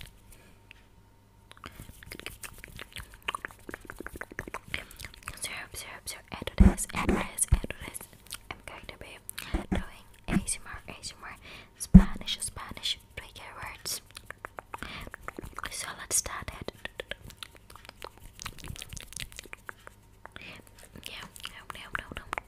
Syrup, syrup, syrup, add to this, add to this, add to this. I'm going to be doing ASMR, ASMR, Spanish, Spanish, trigger words. So let's start it. no, no, no, no.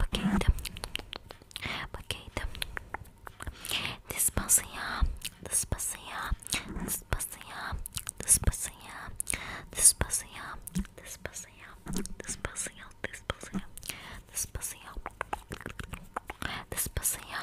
Bakayım. Bakayım. Despacito. Despacito. Despacito. Despacito. Despacito. Despacito. Despacito. Despacito. Despacito. Despacito.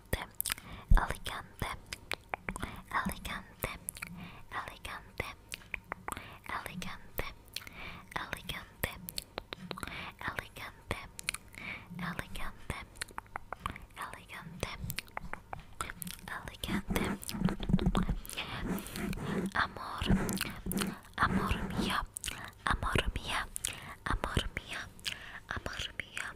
elegante, elegante, elegante, elegante, elegante, elegante, elegante, elegante, elegante, elegante, amor, amor mía, amor mía, amor mía, amor mía,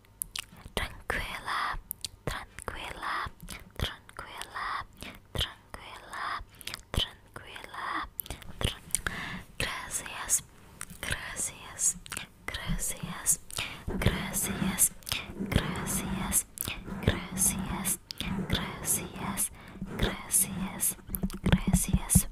Tranquila, tranquila, tranquila, tranquila, tranquila. Tran gracias, gracias, gracias, gracias, gracias, gracias, gracias, gracias, gracias.